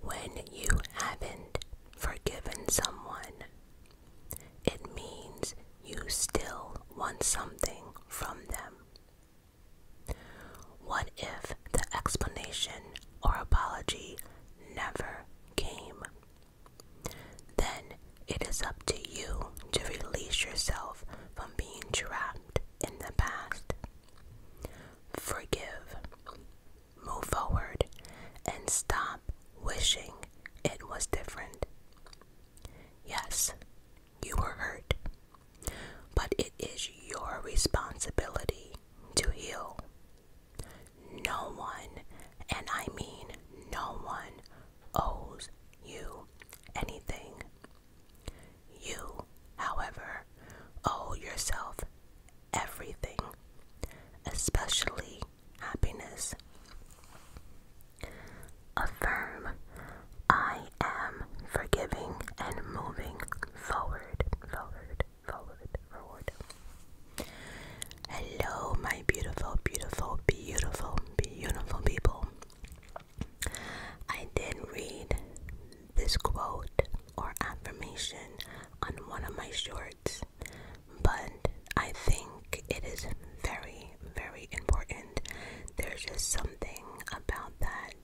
When you haven't forgiven someone, it means you still want something from them. What if the explanation or apology never came? Then it is up to you to release yourself from being trapped in the past forgive, move forward, and stop wishing it was different. Yes, you were hurt, but it is your responsibility to heal. No one, and I mean no one, owes you anything. You, however, owe yourself everything, especially happiness. Affirm, I am forgiving and moving forward, forward, forward, forward. Hello, my beautiful, beautiful, beautiful, beautiful people. I did read this quote or affirmation on one of my shorts, but I think it is very, very important. There's just something about that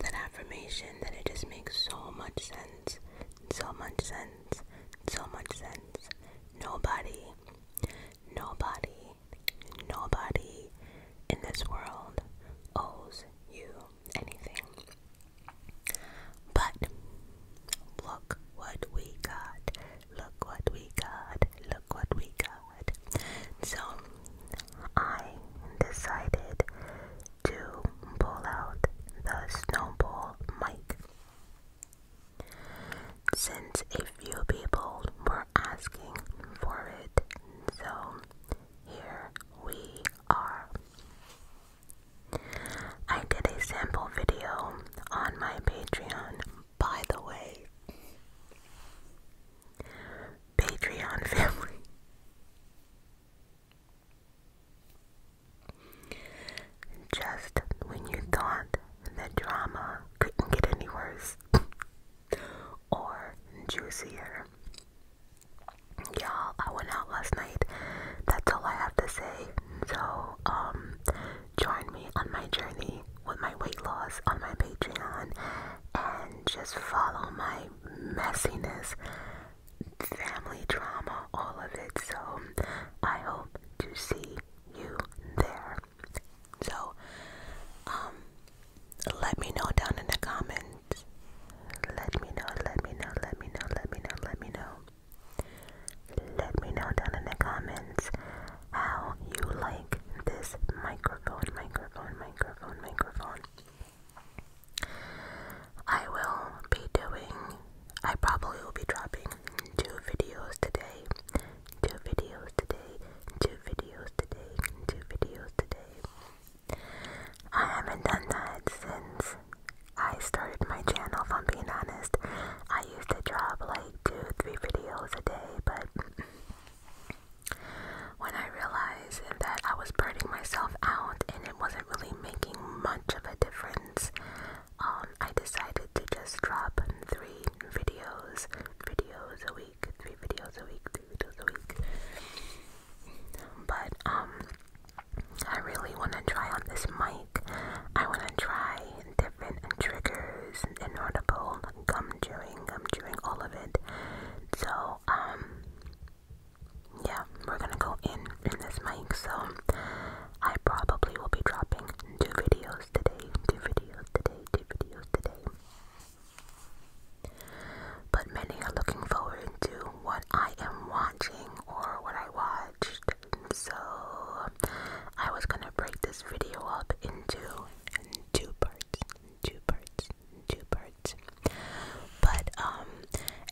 that affirmation that it just makes so much sense, so much sense, so much sense. Nobody, nobody, nobody in this world owes you anything. But look what we got. Look what we got. Look what we got. So I decided to pull out the snowball mic. Since a few people were asking for it, so here we are. I did a sample video on my Patreon, by the way. Patreon family. Just when you thought the drama couldn't get any worse, or juicier. Y'all, I went out last night. That's all I have to say. So, um, join me on my journey with my weight loss on my Patreon and just follow my messiness, family drama, all of it. So, I hope to see you there. So, um, let me know down in the comments. Let me know, let me know, let me know, let me know, let me know. Let me know down in the comments how you like this microphone, microphone, microphone, microphone. I will be doing, I probably will be dropping two videos today. Two videos today, two videos today, two videos today. I haven't done that since I started my channel, if I'm being honest. I used to drop like two, three videos a day, but when I realized that I was burning myself out and it wasn't really making much of a difference, um, I decided to just drop three videos, videos a week three videos a week, three videos a week. But um, I really want to try on this mic. I want to try different triggers, inaudible, gum chewing, gum chewing, all of it. So um, yeah, we're gonna go in in this mic. So I probably will be dropping two videos today, two videos today, two videos today. But many are looking forward to what I am watching or what I watched. So I was gonna break this video up into two parts, two parts, two parts. But um,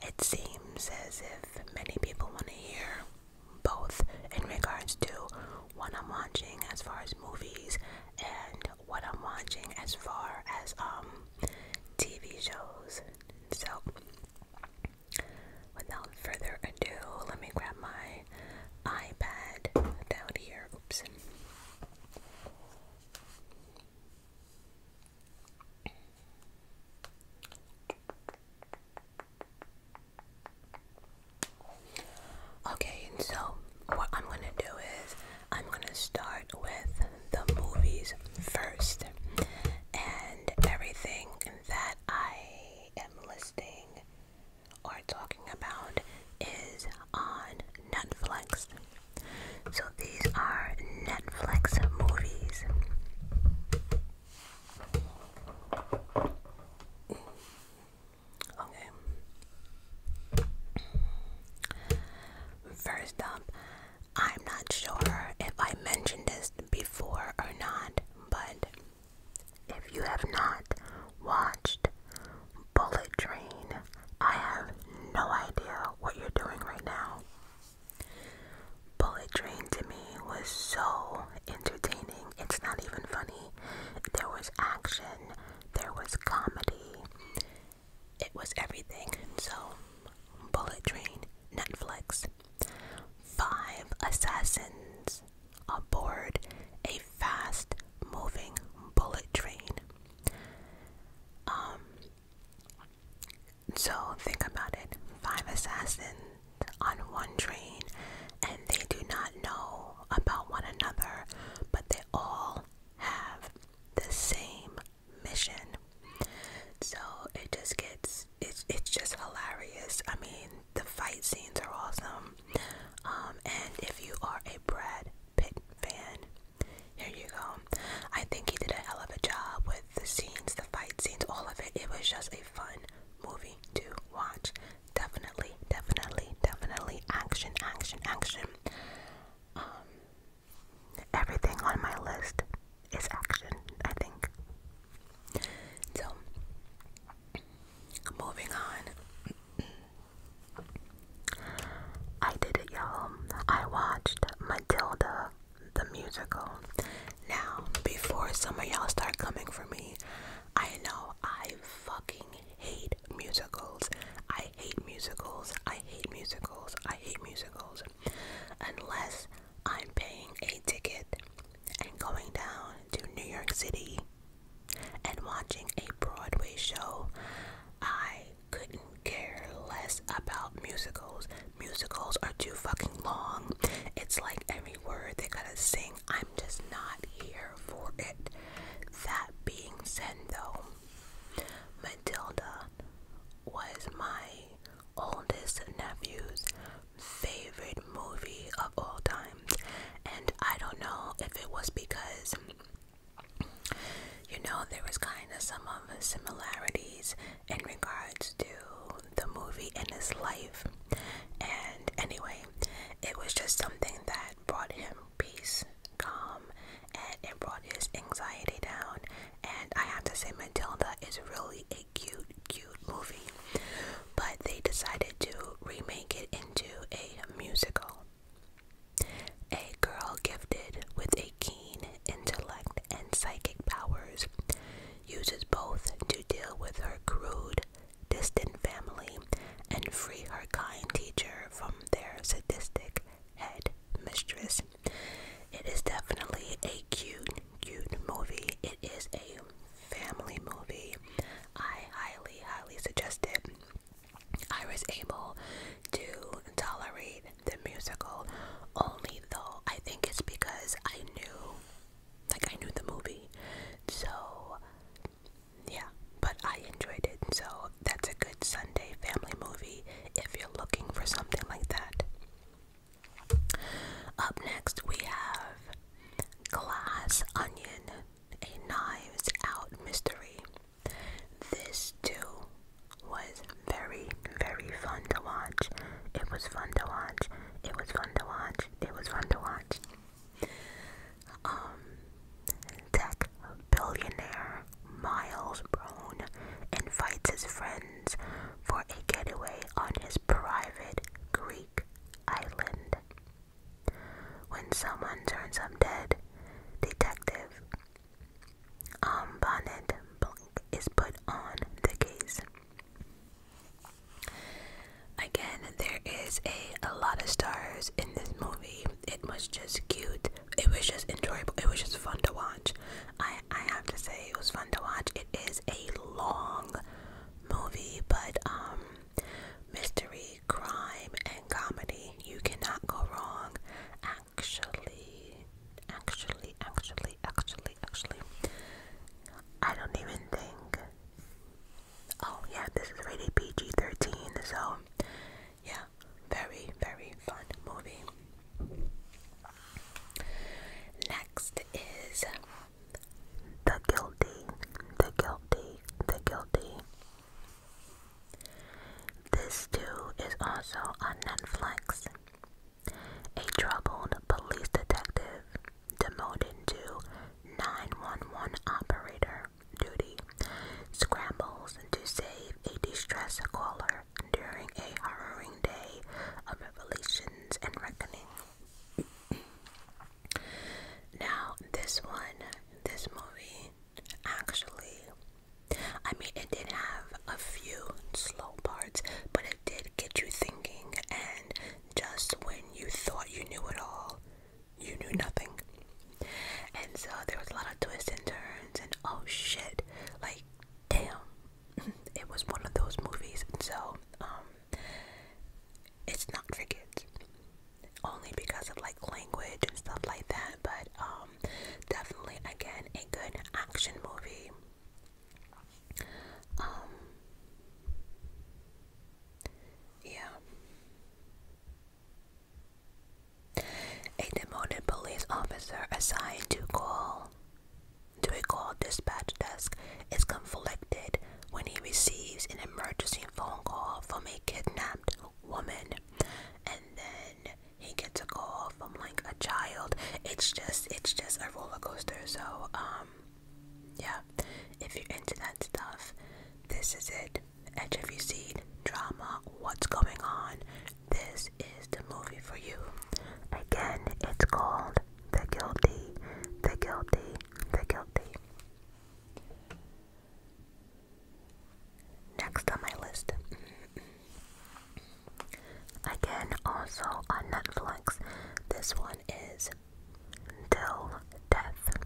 it seems as if many people want to hear both in regards to what I'm watching as far as movies and what I'm watching as far as um TV shows. So, without further ado, let me grab my iPad down here. Oops. Okay, so what I'm gonna do is I'm gonna start with the movies first and everything that I am listing or talking about is on Netflix. So these are Netflix movies. Okay. First up, I'm not sure if I mentioned this before or not, but if you have not watched Bullet Train, I have no idea what you're doing right now. Bullet Train to me was so entertaining. It's not even funny. There was action, there was comedy, it was everything. So, Bullet Train, Netflix. Five assassins aboard a fast moving bullet train. Um, so, think about it five assassins on one train, and they do not know about one another, but they all have the same mission. So it just gets it's it's just hilarious. I mean, the fight scenes are awesome. Um, and if you are a Brad Pitt fan, here you go. I think he did a hell of a job with the scenes, the fight scenes, all of it. It was just a fun movie to watch. Definitely, definitely, definitely action, action, action. Um, Everything on my list is action, I think. So, moving on. I did it, y'all. I watched Matilda the musical. Now, before some of y'all start coming for me, I know I fucking hate musicals. I hate musicals. I hate musicals. I I hate musicals unless I'm paying a ticket and going down to New York City and watching a Broadway show. I couldn't care less about musicals. Musicals are too fucking long. It's like every word they gotta sing. I'm just not here for it. That being said, though, Matilda was my oldest nephew's favorite movie of all time, and I don't know if it was because you know there was kind of some of similarities in regards to the movie and his life, and anyway, it was just something that brought him peace calm and it brought his anxiety down. And I have to say, Matilda is really a cute, cute movie. But they decided to remake it into a musical. A girl gifted with a keen intellect and psychic powers uses both to deal with her crude, distant family and free her kind teacher from their sadistic head mistress. It is definitely a cute, cute movie. It is a family movie. I highly, highly suggest it. I was able to tolerate the musical only though I think it's because I knew like I knew the movie. So yeah, but I enjoyed it. So that's a good Sunday family movie if you're looking for something like that. Up next, we have Glass Onion, a Knives Out mystery. This too was very, very fun to watch. It was fun to watch. It was fun to watch. It was fun to watch. Um, Zach billionaire Miles Brown invites his friends for a getaway on his private Greek island. When someone turns up dead, Detective um, Bonnet is put on the case. Again, there is a lot of stars in this movie. It was just cute it was just enjoyable. It was just fun to watch. I I have to say it was fun to watch. It is a long movie, but um mystery, crime and comedy. You cannot go wrong. Actually, actually, actually, actually, actually. I don't even think Oh yeah, this is rated PG thirteen, so yeah, very, very fun movie. Next is The Guilty, The Guilty, The Guilty. This too is also on Netflix. A troubled police detective demoted to 911 operator duty scrambles to save a distressed caller during a harrowing day of revelations and reckoning. now, this one, this movie, actually, I mean, it did have a few slow parts, but it did get you thinking, and just when you thought you knew it all, you knew nothing. And so there was a lot of twists and turns, and oh shit, like damn, it was one of those movies. And so, um, it's not for kids, only because of like language and stuff like that. But um, definitely again a good action movie. Um, yeah. A demoted police officer assigned to call to a call dispatch desk is conflicted when he receives an emergency phone call from a kidnapped woman and then he gets a call from like a child. It's just it's just a roller coaster. So um yeah. If you're into that stuff, this is it. Edge of your seat, drama, what's going on, this is the movie for you. Again, it's called The Guilty, The Guilty, The Guilty. Next on my list. Mm-hmm. Again, also on Netflix, this one is Till Death.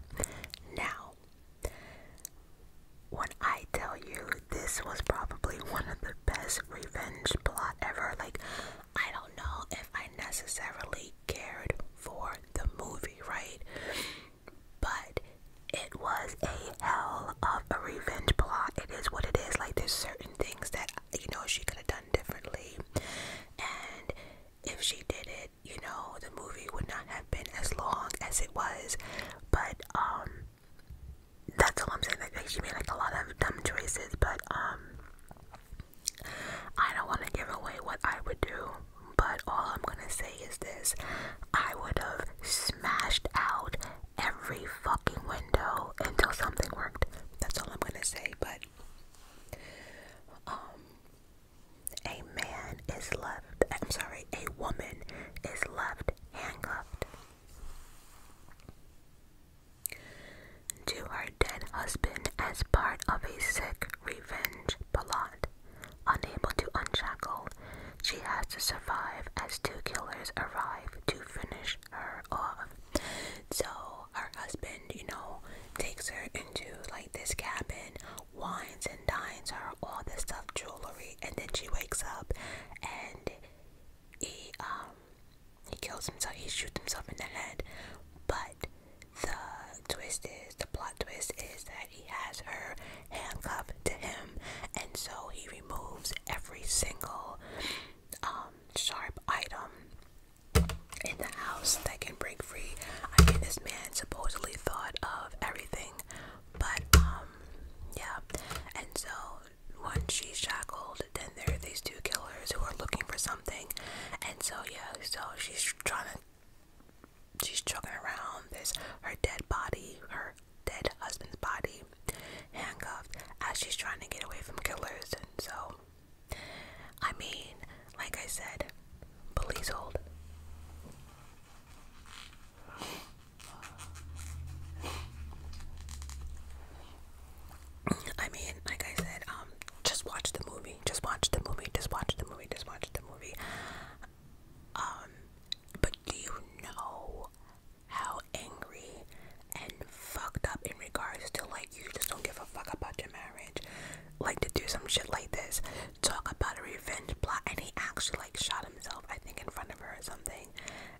Now, when I tell you this was probably one of the best revenge plot ever, like I don't know if I necessarily cared for the movie, right? But it was a hell of a revenge plot. It is what it is. Like there's certain things that you know she could have done differently. And if she did it, you know, the movie would not have been as long as it was. But um that's all I'm saying. Like she made like a lot of dumb choices, but um, I don't want to give away what I would do. But all I'm gonna say is this: I would have smashed out every fucking window until something worked. That's all I'm gonna say. But um, a man is left. I'm sorry, a woman is left handcuffed to her dead husband as part of a sick revenge plot. Unable to unshackle, she has to survive as two killers arrive to finish her off. So her husband, you know, takes her into like this cabin, wines and dines her, all this stuff, jewelry, and then she wakes up and he um he kills himself. He shoots himself in the head. But the twist is the plot twist is that he has her handcuffed to him, and so he removes every single um sharp item in the house that can break free. I mean, this man supposedly thought of everything, but um, yeah, and so once she's shackled, then there are these two killers who are looking for something, and so yeah, so she's trying to, she's chugging around. this her dead body, her dead husband's body, handcuffed as she's trying to get away from killers, and so, I mean, like I said, please hold. I mean, like I said, um, just watch the movie. Just watch the movie. Just watch the movie. Just watch the movie. Um, but do you know how angry and fucked up in regards to like you just don't give a fuck about your marriage? Like to do some shit like this, talk about a revenge plot, and he actually like shot himself, I think, in front of her or something.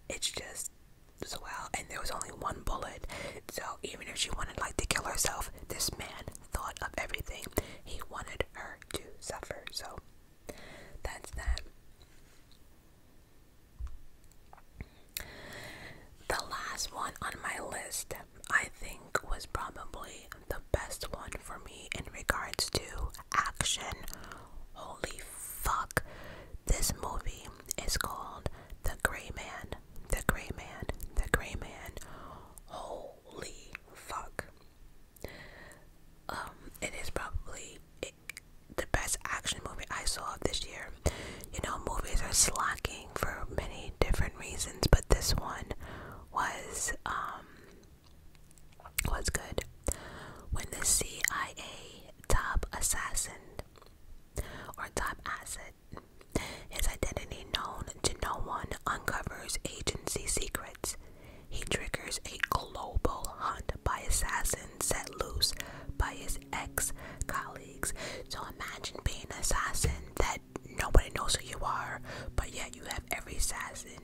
It's just as well, and there was only one bullet. So even if she wanted like to kill herself, this man thought of everything. He wanted her to suffer. So that's that. The last one on my list, I think, was probably the best one for me in regards to action. Holy fuck, this movie is called The Gray Man. The Gray Man. The Gray Man. Holy fuck. Um, it is probably the best action movie I saw this year. You know, movies are slacking for many different reasons, but this one was um was good. When the CIA top assassin or top asset. His identity known to no one uncovers agency secrets. He triggers a global hunt by assassins set loose by his ex-colleagues. So imagine being an assassin that nobody knows who you are, but yet you have every assassin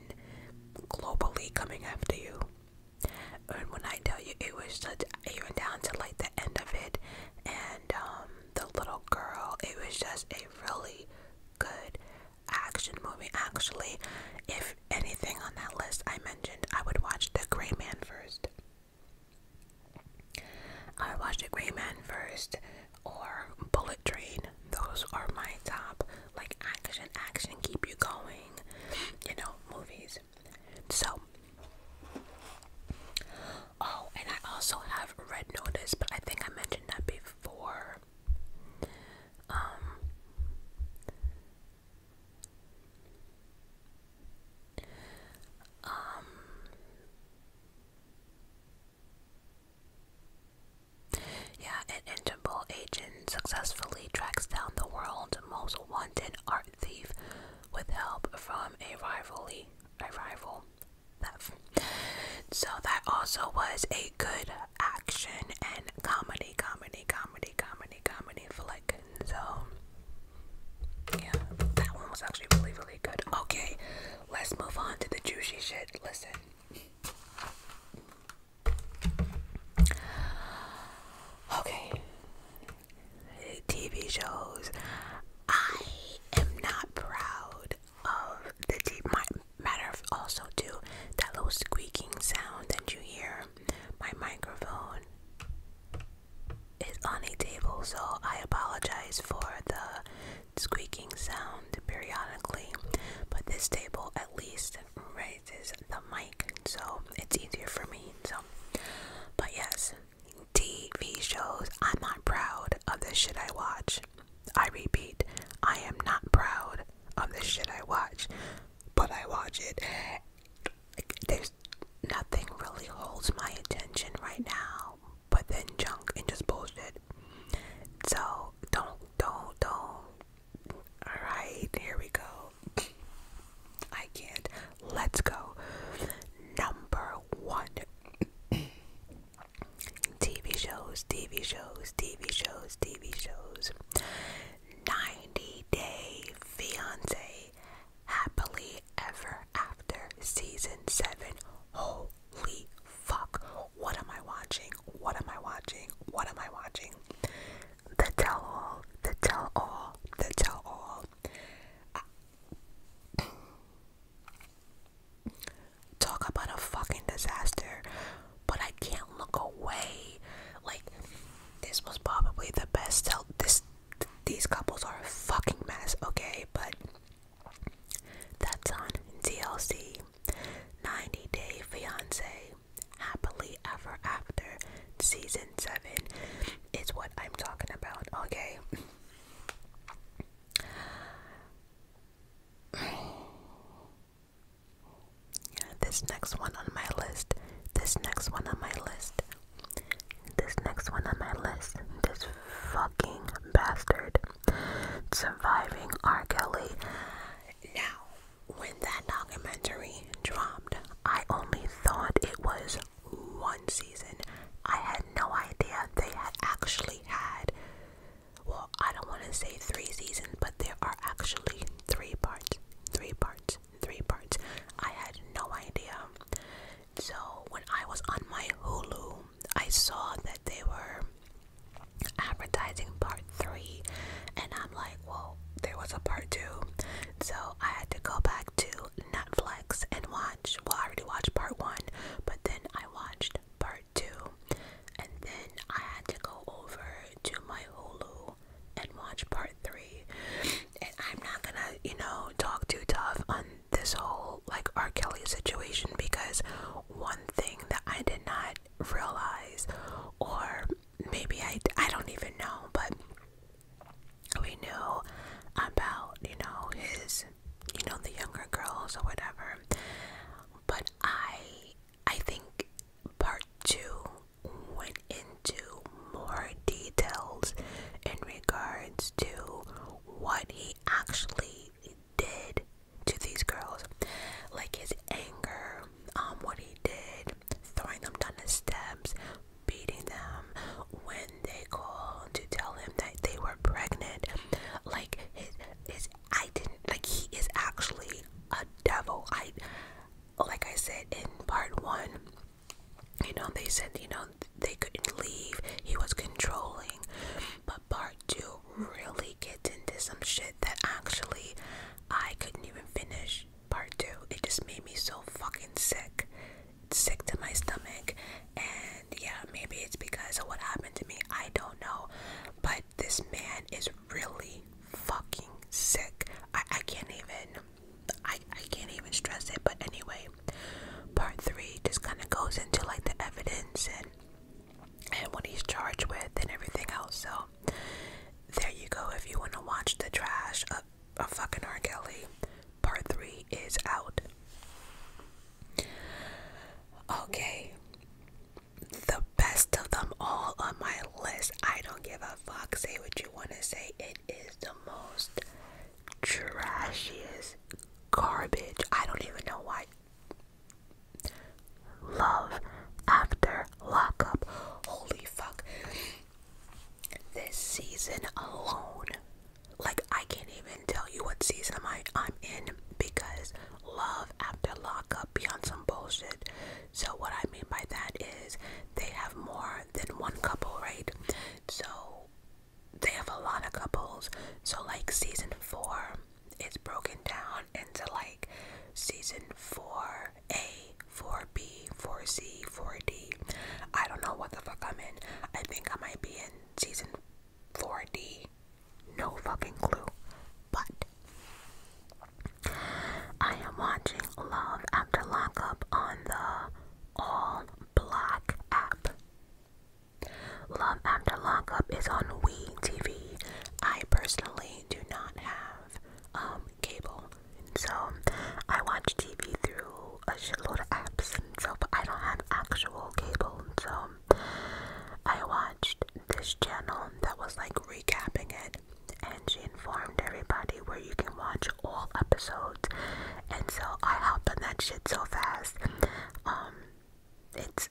globally coming after you. And when I tell you, it was such even down to like the end of it, and um, the little girl. It was just a really good action movie. Actually, if anything on that list I mentioned, I would watch The Gray Man first. I would watch The Gray Man first, or Bullet Train. Those are my top like action, action keep you going, you know, movies. So, oh, and I also have red notice, but I think I mentioned that before. Um, um yeah, an agent successfully tracks down the world's most wanted art thief with help from a rivalry a rival theft. So that also was a good action and comedy, comedy, comedy, comedy, comedy flick. So yeah, that one was actually really, really good. Okay, let's move on to the juicy shit. Listen. Okay, TV shows. I am not proud of the TV. Matter of also too that little squeaking sound that you hear. My microphone is on a table, so I apologize for the squeaking sound periodically. But this table at least raises the mic so it's easier for me. So, but yes, TV shows. I'm not proud of the shit I watch. I repeat, I am not proud of the shit I watch, but I watch it. There's nothing really holds my attention right now, but then junk and just bullshit. So don't, don't, don't. All right, here we go. I can't. Let's go. Number one. TV shows, TV shows, TV shows, TV shows. 90 Day Fiance. Happily Ever After Season 7. Holy fuck. What am I watching? What am I watching? What am I watching? The Tell All, The Tell All, The Tell All. Talk about a fucking disaster, but I can't look away. Like, this was probably the best. Tell this, these couples are a fucking mess, okay? But that's on DLC. 90 Day Fiance, Happily Ever After, Season 7. It's what I'm talking about, okay? this next one on my list, this next one on my list, this next one on my list, this fucking bastard surviving R. Kelly. Now, when that documentary dropped, I only thought it was one season. I had no idea they had actually had, well, I don't want to say three seasons, but there are actually three parts, three parts, three parts. I had no idea. So when I was on my Hulu, I saw that they were advertising part three, and I'm like, well, there was a part two. So I had to go back to Netflix and watch. Well, I already watched part one, but then I watched part two, and then I had to go over to my Hulu and watch part three. And I'm not gonna, you know, talk too tough on this whole like R. Kelly situation because one thing that I did not realize, or maybe I, I don't even know, but we knew about, you know, his, you know, the younger girls or whatever. But I, I think part two went into more details in regards to what he actually did to these girls, like his anger, um, what he did throwing them down the steps, beating them when they called to tell him that they were pregnant. Like his, I didn't like he is actually a devil. I like I said in part one, you know, they said, you know, they couldn't leave. He was controlling. But part two really gets into some shit that actually I couldn't even finish part two. It just made me so fucking sick sick to my stomach and yeah maybe it's because of what happened to me i don't know but this man is really fucking sick i, I can't even I, I can't even stress it but anyway part three just kind of goes into like the evidence and and what he's charged with and everything else so there you go if you want to watch the trash a fucking R. Kelly. Part three is out. Okay. The best of them all on my list. I don't give a fuck. Say what you want to say. It is the most trashiest garbage. I don't even know why. Love after lockup. Holy fuck this season alone, like I can't even tell you what season am I I'm in because love after lockup beyond some bullshit. So what I mean by that is they have more than one couple, right? So they have a lot of couples. So like season four is broken down into like season four A, 4B, 4C, 4D. I don't know what the fuck I'm in. I think I might be in season 4D. No fucking clue. But I am watching Love After Lockup on the All Black app. Love After Lockup is on WE TV. I personally do not have um, cable, and so I watch TV through a shitload of apps, and stuff. but I don't have actual cable. And so I watched this channel that was like recapping it, and she informed everybody where you can watch all episodes. And so I hop on that shit so fast. Um, it's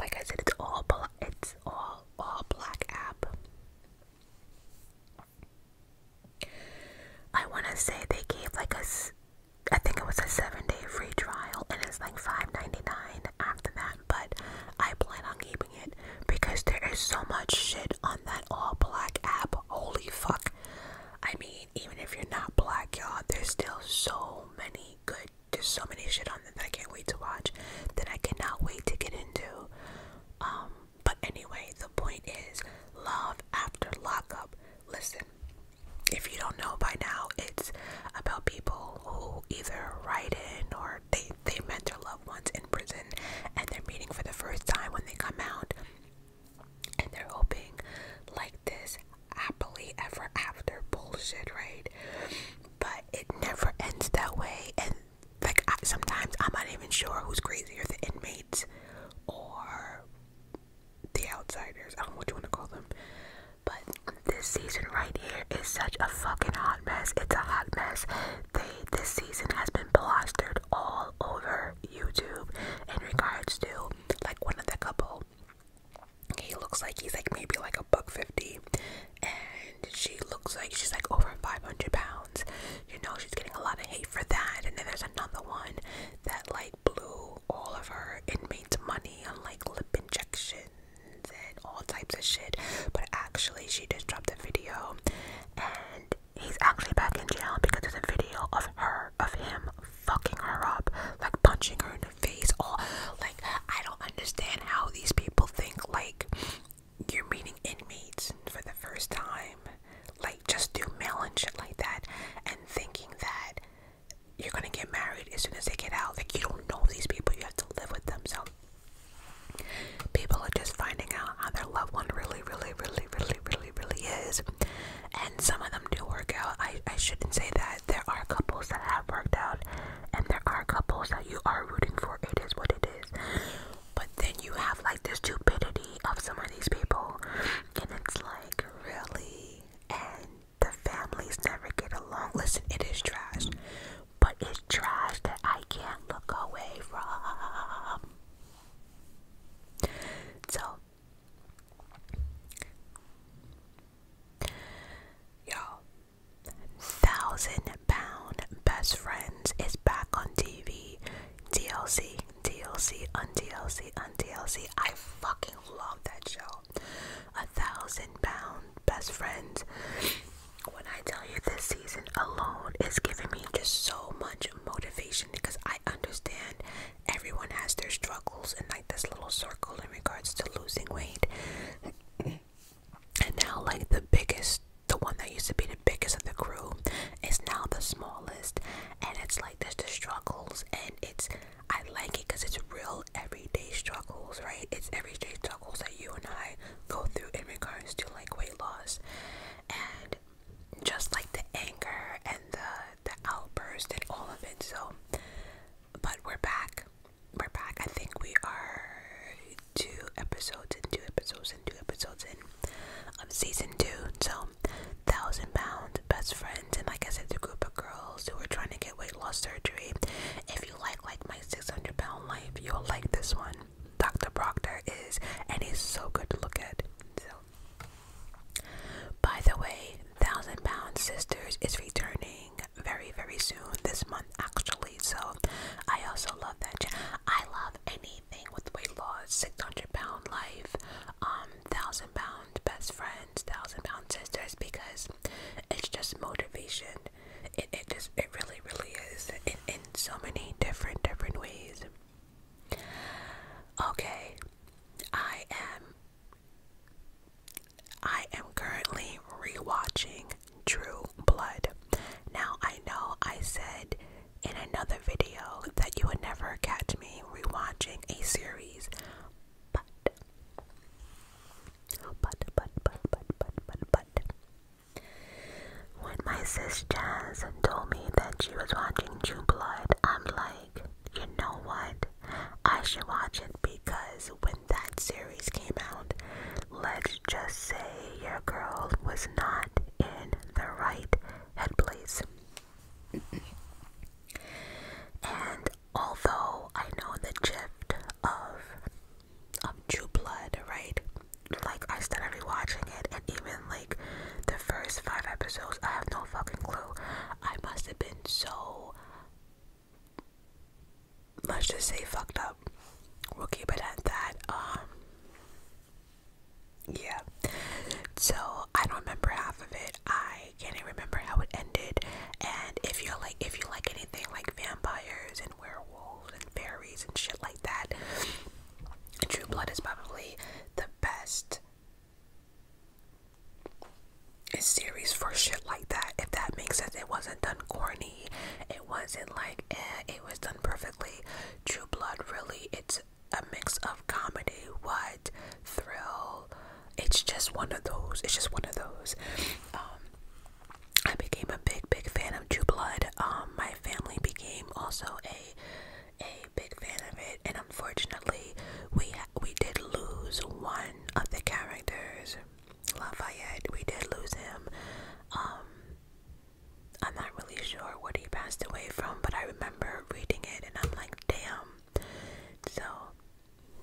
like I said, it's all bla it's all all black app. I want to say they gave like a, I think it was a seven day free trial and it's like five ninety-nine after that. But I plan on keeping it because there is so much shit on that all black app. Holy fuck. I mean, even if you're not black, y'all, there's still so many good, there's so many shit on there that I can't wait to watch that I cannot wait to get into. Um, but anyway, the point is love after lockup. Listen, if you don't know by now, it's about people who either write in or they, they met their loved ones in prison and they're meeting for the first time when they come out and they're hoping like this happily ever after bullshit, right? But it never ends that way. And like sometimes I'm not even sure who's crazier, the inmates or the outsiders. I don't know what you want to call them. But this season right here is such a fucking hot mess. It's a hot mess. They this season has been plastered all over YouTube in regards to like one of the couple. He looks like he's like maybe like a buck fifty, and she looks like she's like over five hundred pounds you know, she's getting a lot of hate for that. And then there's another one that like blew all of her inmates' money on like lip injections and all types of shit. But actually, she just dropped a video and he's actually back in jail because there's a video of her, of him fucking her up, like punching her in the face. All like, I don't understand how these people think like you're meeting inmates for the first time like just do mail and shit like that and thinking that you're gonna get married as soon as they get out. Like you don't know these people, you have to live with them. So people are just finding out how their loved one really, really, really, really, really, really is. And some of them do work out. I, I shouldn't say that. There are couples that have worked out and there are couples that you are rooting for. It is what it is. But then you have like this stupidity of some of these people, and it's like, really? And the families never get along. Listen, it is trash, but it's trash that I can't look away from. So, y'all, Thousand Pound Best Friends is back on TV. DLC. DLC, on DLC, I fucking love that show. A thousand pound best friends. When I tell you this season alone is giving me just so much motivation because I understand everyone has their struggles and like this little circle in regards to losing weight. And now, like the biggest, the one that used to be the biggest of the crew is now the smallest. And it's like, like there's the struggles and it's I like it because it's real everyday struggles, right? It's everyday struggles that you and I go through in regards to like weight loss. And just like the anger and the the outburst and all of it. So but we're back. We're back. I think we are two episodes and two episodes and two episodes in of season two. So thousand pound best friends and like I said the group of girls who are trying to get weight loss surgery. If you like like my six hundred pound life, you'll like this one. Dr. Proctor is and he's so good to look at. So by the way, Thousand Pound Sisters is returning very very soon this month actually. So I also love that. I love anything with weight loss, six hundred pound life, um thousand pound best friends, thousand pound sisters because it's just motivation. It it just it really really is in so many different different ways. Okay, I am. I am currently rewatching True Blood. Now I know I said in another video that you would never catch me rewatching a series. But, but, but, but, but, but, but, when my sis Jazz told me that she was watching True Blood, I'm like, you know what? I should watch it because when that series came out, let's just say your girl was not in the right head place and although I know the gift of of True Blood, right? Like I started rewatching it, and even like the first five episodes, I have no fucking clue. I must have been so let's just say fucked up. We'll keep it at that. Um, yeah so i don't remember half of it i can't remember how it ended and if you like if you like anything like vampires and werewolves and fairies and shit like that true blood is probably the best series for shit like that if that makes sense it wasn't done corny it wasn't like eh, it was done perfectly true blood really it's a mix of comedy, what thrill. It's just one of those. It's just one of those. Um, I became a big, big fan of True Blood. Um, my family became also a a big fan of it, and unfortunately, we we did lose one of the characters, Lafayette. We did lose him. Um, I'm not really sure what he passed away from, but I remember reading it, and I'm like damn. So,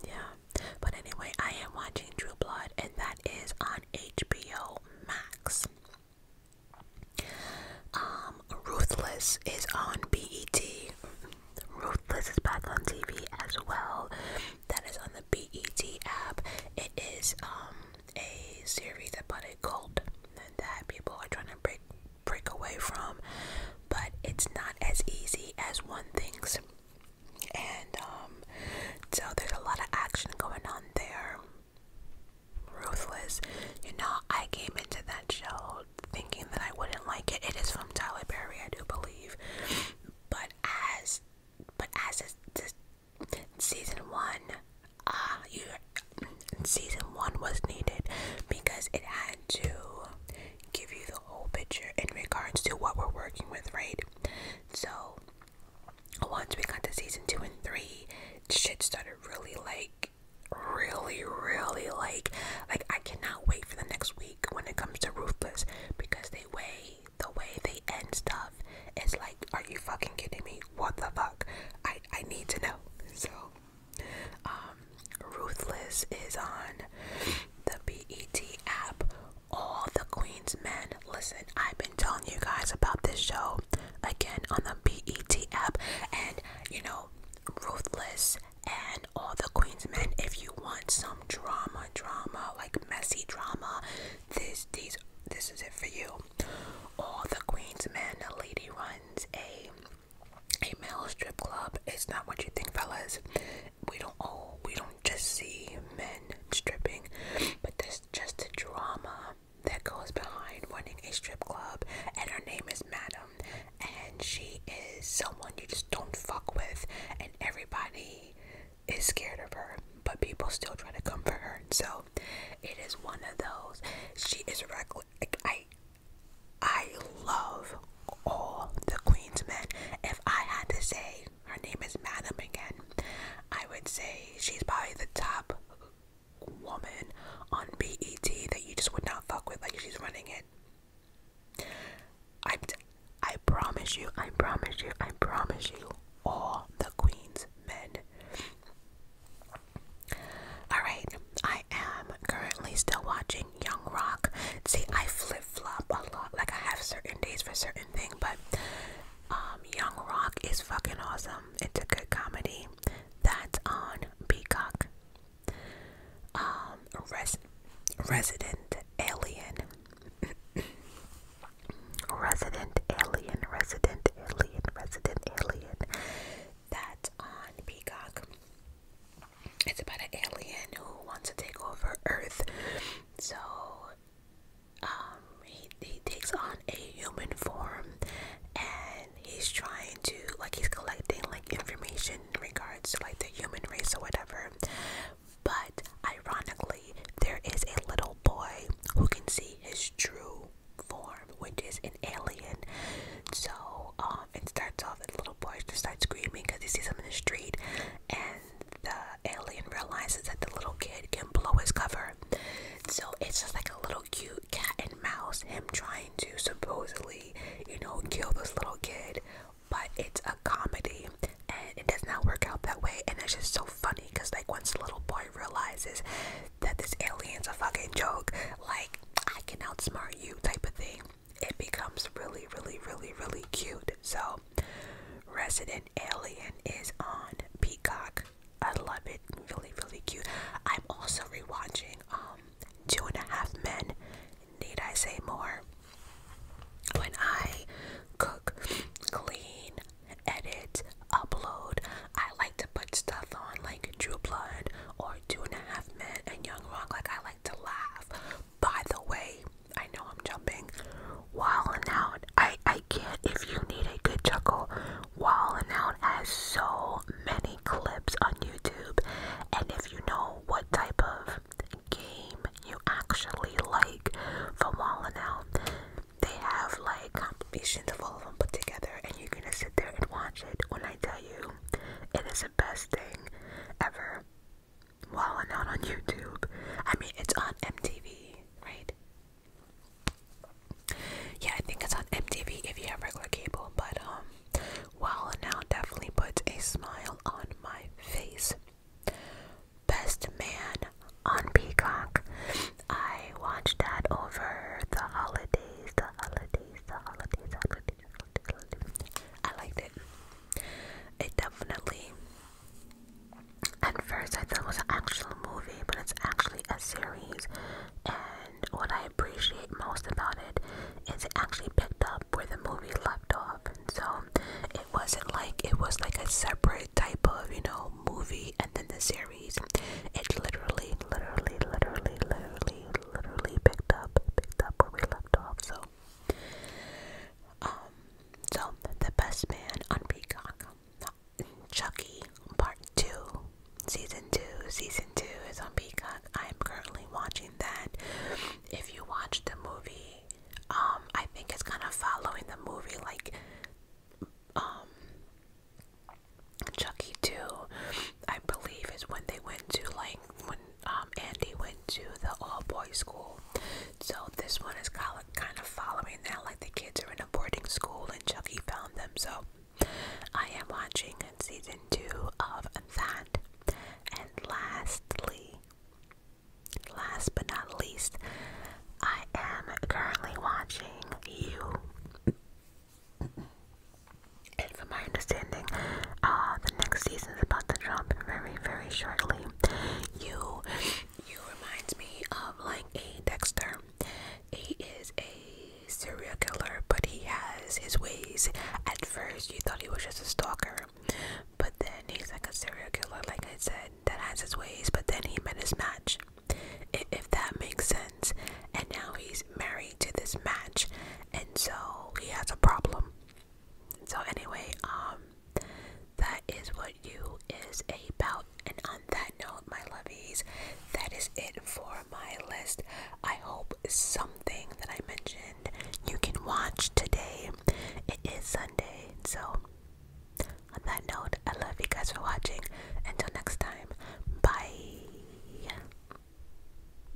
yeah. But anyway, I am watching True Blood, and that is on HBO Max. Um, Ruthless is on BET. Ruthless is back on TV as well. That is on the BET app. It is um a series about a cult that people are trying to break break away from, but it's not as easy as one thinks. And um, so there's a lot of action going on there. Ruthless. You know, I came into that show thinking that I wouldn't like it. It is from Tyler Berry, I do believe. But as but as is this season one, ah, uh, you season one was needed because it had to give you the whole picture in regards to what we're working with, right? So once we got to season two and three, shit started really like really really like like I cannot wait for the next week when it comes to Ruthless because they way the way they end stuff is like are you fucking kidding me? What the fuck? I I need to know. So um, Ruthless is on the BET app. All the Queen's Men. Listen, I've been telling you guys about this show again on the BET app, and you know, Ruthless and All the Queen's Men. If you want some drama, drama like messy drama, this these this is it for you. All the Queen's Men. A lady runs a a male strip club is not what you think, fellas. We don't oh we don't just see men stripping, but there's just the drama that goes behind running a strip club and her name is Madam and she is someone you just don't fuck with and everybody is scared of her but people still try to comfort her so it is one of those she is reckless like, I I love all the Queen's men. If I had to say her name is Madam again, I would say she's probably the top woman on BET that you just would not fuck with. Like she's running it. I, I promise you, I promise you, I promise you, all the Queen's men. Alright, I am currently still watching Young Rock. See, I flip flop a lot. Like, I have certain days for certain thing, but um, Young Rock is fucking awesome. It's a good comedy. That's on Peacock. Um, Res Resident Alien. Resident Alien, Resident Alien, Resident Alien. That's on Peacock. It's about an alien who wants to take over Earth. So um, he he takes on a human form and he's trying to like he's collecting like information in regards to like the human race or whatever. But ironically, there is a little boy who can see his true form, which is an alien. So um, and starts off and the little boy just starts screaming because he sees him in the street and the alien realizes that the little kid can blow his cover. So it's just like a little cute cat and mouse, him trying to supposedly, you know, kill this little kid. But it's a comedy and it does not work out that way. And it's just so funny because, like, once the little boy realizes that this alien's a fucking joke, like, I can outsmart you type of thing, it becomes really, really, really, really cute. So, Resident Alien is on Peacock. I love it. Really, really cute. I'm also rewatching um, Two and a Half Men. Need I say more? When I cook, clean, edit, upload, I like to put stuff on like True or Two and a Half Men and Young Rock. Like I like to laugh. By the way, I know I'm jumping. Wildin' Out. I I can't. If you need a good chuckle, Wildin' Out has so many clips on YouTube, and if you know what type of game you actually like for Wildin' Out, they have like compilations of all of them put together, and you're gonna sit there and watch it. When I tell you, it is the best thing ever. While Well, out on YouTube. I mean, it's on MTV, right? Yeah, I think it's on MTV if you have regular cable, but um, while well, out definitely puts a smile on my face. Best Man on Peacock. I watched that over the holidays, the holidays, the holidays, The holidays. I liked it. It definitely. At first, I thought it was an actual movie, but it's actually a series. And what I appreciate most about it is it actually picked up where the movie left off. And so it wasn't like it was like a separate type of, you know, movie and then the series. It literally, literally, literally, literally, literally picked up picked up where we left off. So, um, so the best man on Peacock, Chucky Part Two, Season Two, Season Two is on Peacock. I am currently watching that. If you watch the movie, um, I think it's kind of following the movie, like, um. Chucky 2, I believe, is when they went to like when um, Andy went to the all-boys school. So this one is kind of following that, like the kids are in a boarding school and Chuckie found them. So I am watching season two of that. And lastly, last but not least, I am currently watching you. And from my understanding, uh, the next season is about to drop very, very shortly. You, you reminds me of like a Dexter. He is a serial killer, but he has his ways. At first, you thought he was just a stalker, but then he's like a serial killer, like I said, that has his ways. But then he met his match, if that makes sense. And now he's married to this match, and so he has a problem so anyway, um, that is what you is about. And on that note, my lovies, that is it for my list. I hope something that I mentioned you can watch today. It is Sunday, so on that note, I love you guys for watching. Until next time, bye.